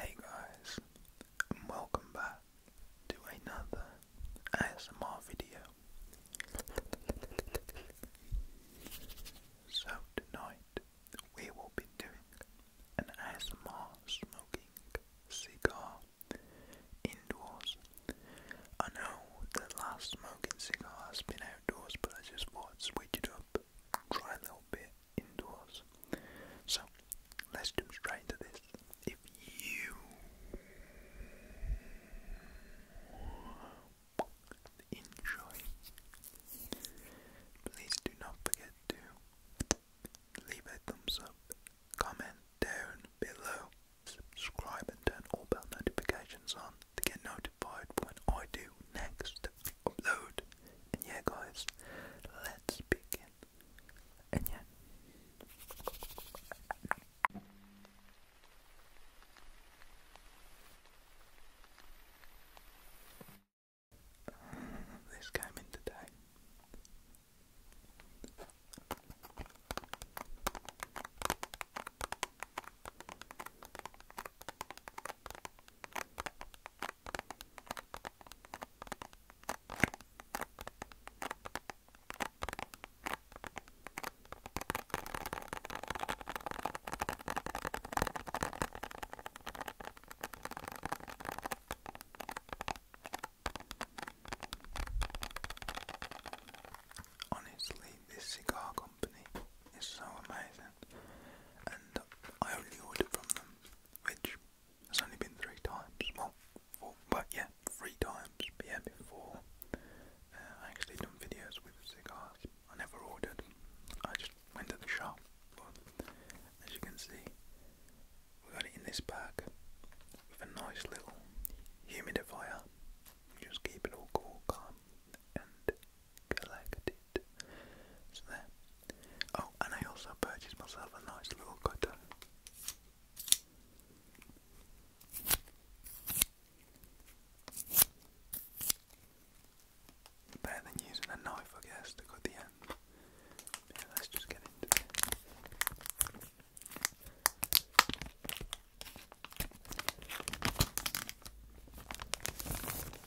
Hey guys, and welcome back to another ASMR video. So tonight we will be doing an ASMR smoking cigar indoors. I know the last smoking cigar has been outdoors, but I just thought to would switch it up try a little bit indoors. So let's jump straight into this. If you enjoy, please do not forget to leave a thumbs up, comment down below, subscribe and turn all bell notifications on to get notified when I do next upload. And yeah guys, let's let's begin. And yet. This came in today. Honestly, this cigar company is so amazing, and I only order from them, which it's only been three times. Well, four, but yeah, three times. yeah, before uh, I actually done videos with cigars. I never ordered. I just went to the shop. But as you can see, we got it in this bag with a nice little humidifier. just keep it all cool, calm, and collected. It's there. Oh, and I also purchased myself a nice little cutter. Better than using a knife, I guess, to cut the end. let's just get into it.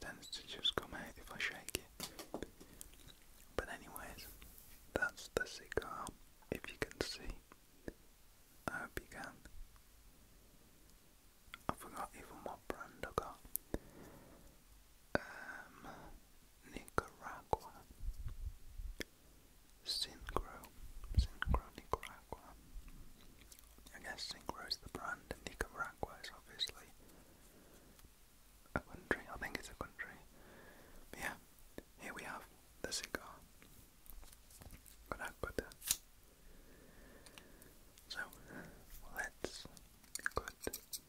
Tends just come out if I shake But anyways, that's the cigar. If you can see, I hope you can. I forgot even what brand I um, Nicaragua. Synchro, Synchro Nicaragua. I guess Synchro is the brand, and Nicaragua is obviously a country. I think it's a country. yeah, here we have the cigar. Caracuta. Uh, so let's cut.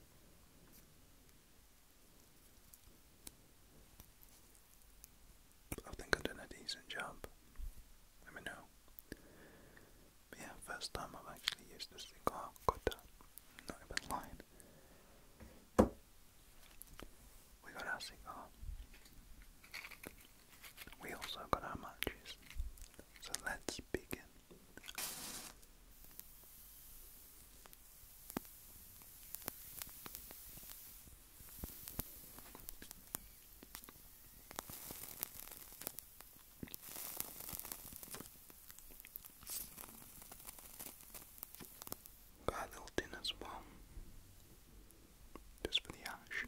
I think I've done a decent job. Let me know. yeah, first time I've actually used this thing. Oh, good. Not even lying. We got our cigar. We also got our matches. So let's begin. Gargled in as well, just for the ash.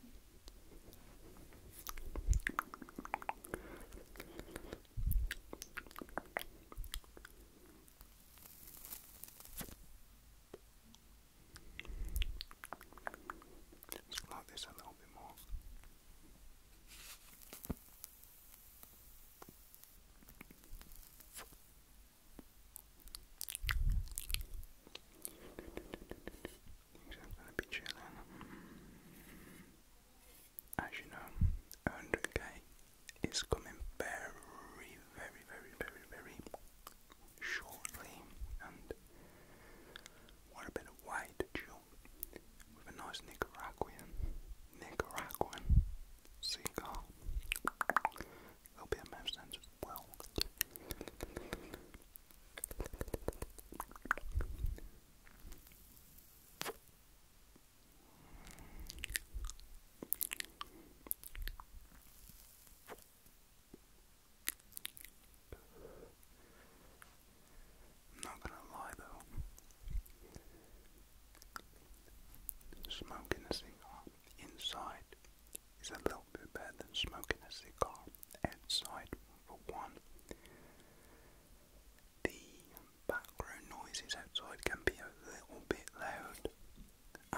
Let's cloud this a little bit more. Things are gonna be chilling. As you know, 100k is coming very, very, very, very, very shortly and what a bit of white jump with a nice Nicaraguan Nicaraguan cigar. It'll be a mouth sense not gonna lie though, smoking a cigar inside is a little bit better than smoking a cigar outside for one. The background noises outside can be a little bit loud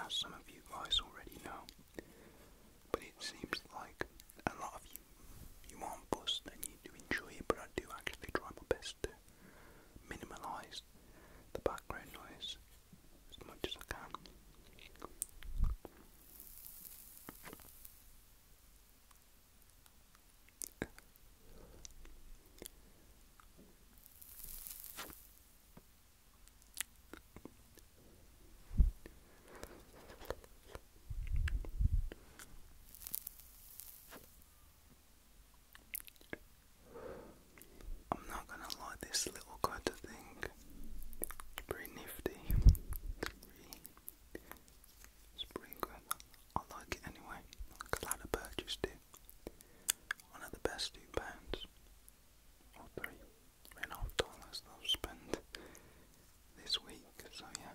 as some of you guys already know. But it seems like a lot of you you aren't buzzed and you do enjoy it, but I do actually try my best to minimalise the background noise as much as I can. I'm not gonna lie, this little cutter thing is pretty nifty. It's pretty good. I like it anyway. Glad I purchased it. One of the best two pounds or three and half dollars I've spent this week, so yeah.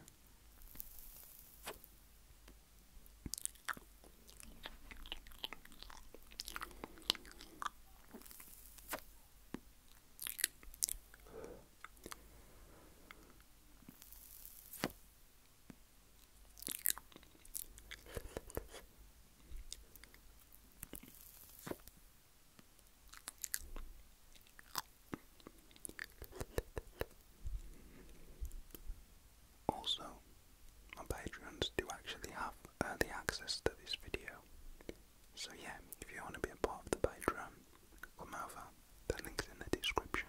Also, my patrons do actually have early access to this video. So yeah, if you want to be a part of the Patreon, come over. The link's in the description.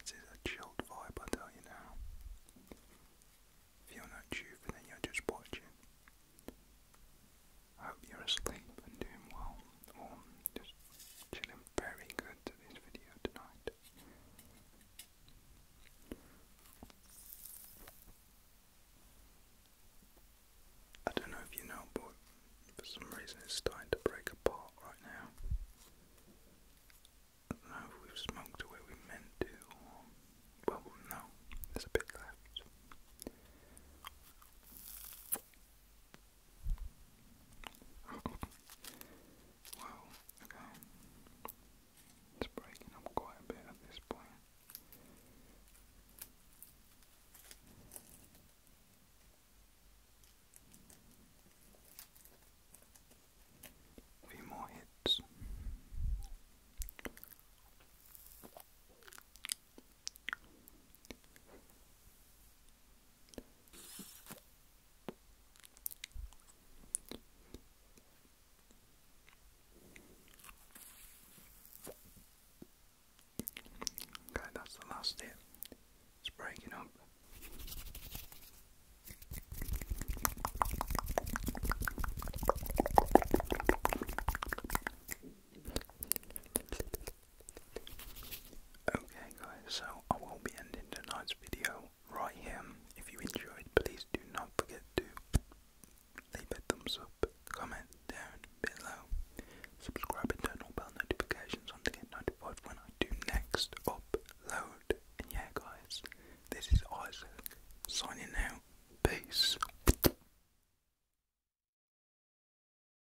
This is a chilled vibe, I tell you now. If you're not due you're just watching. hope you're asleep and doing well. Oh, just chilling very good to this video tonight. I don't know if you know, but for some reason it's starting to break apart right now. I don't know if we've smoked the we meant to, Well, no, there's a bit left well, okay. It's breaking up quite a bit at this point. few more hits. Okay, that's the last bit. It's breaking up. Okay, guys, so I will be ending tonight's video right here. If you enjoyed, please do not forget to leave a thumbs up, comment down below, subscribe, and turn on bell notifications on to get notified when I do next upload. And yeah, guys, this is Isaac signing out. Peace.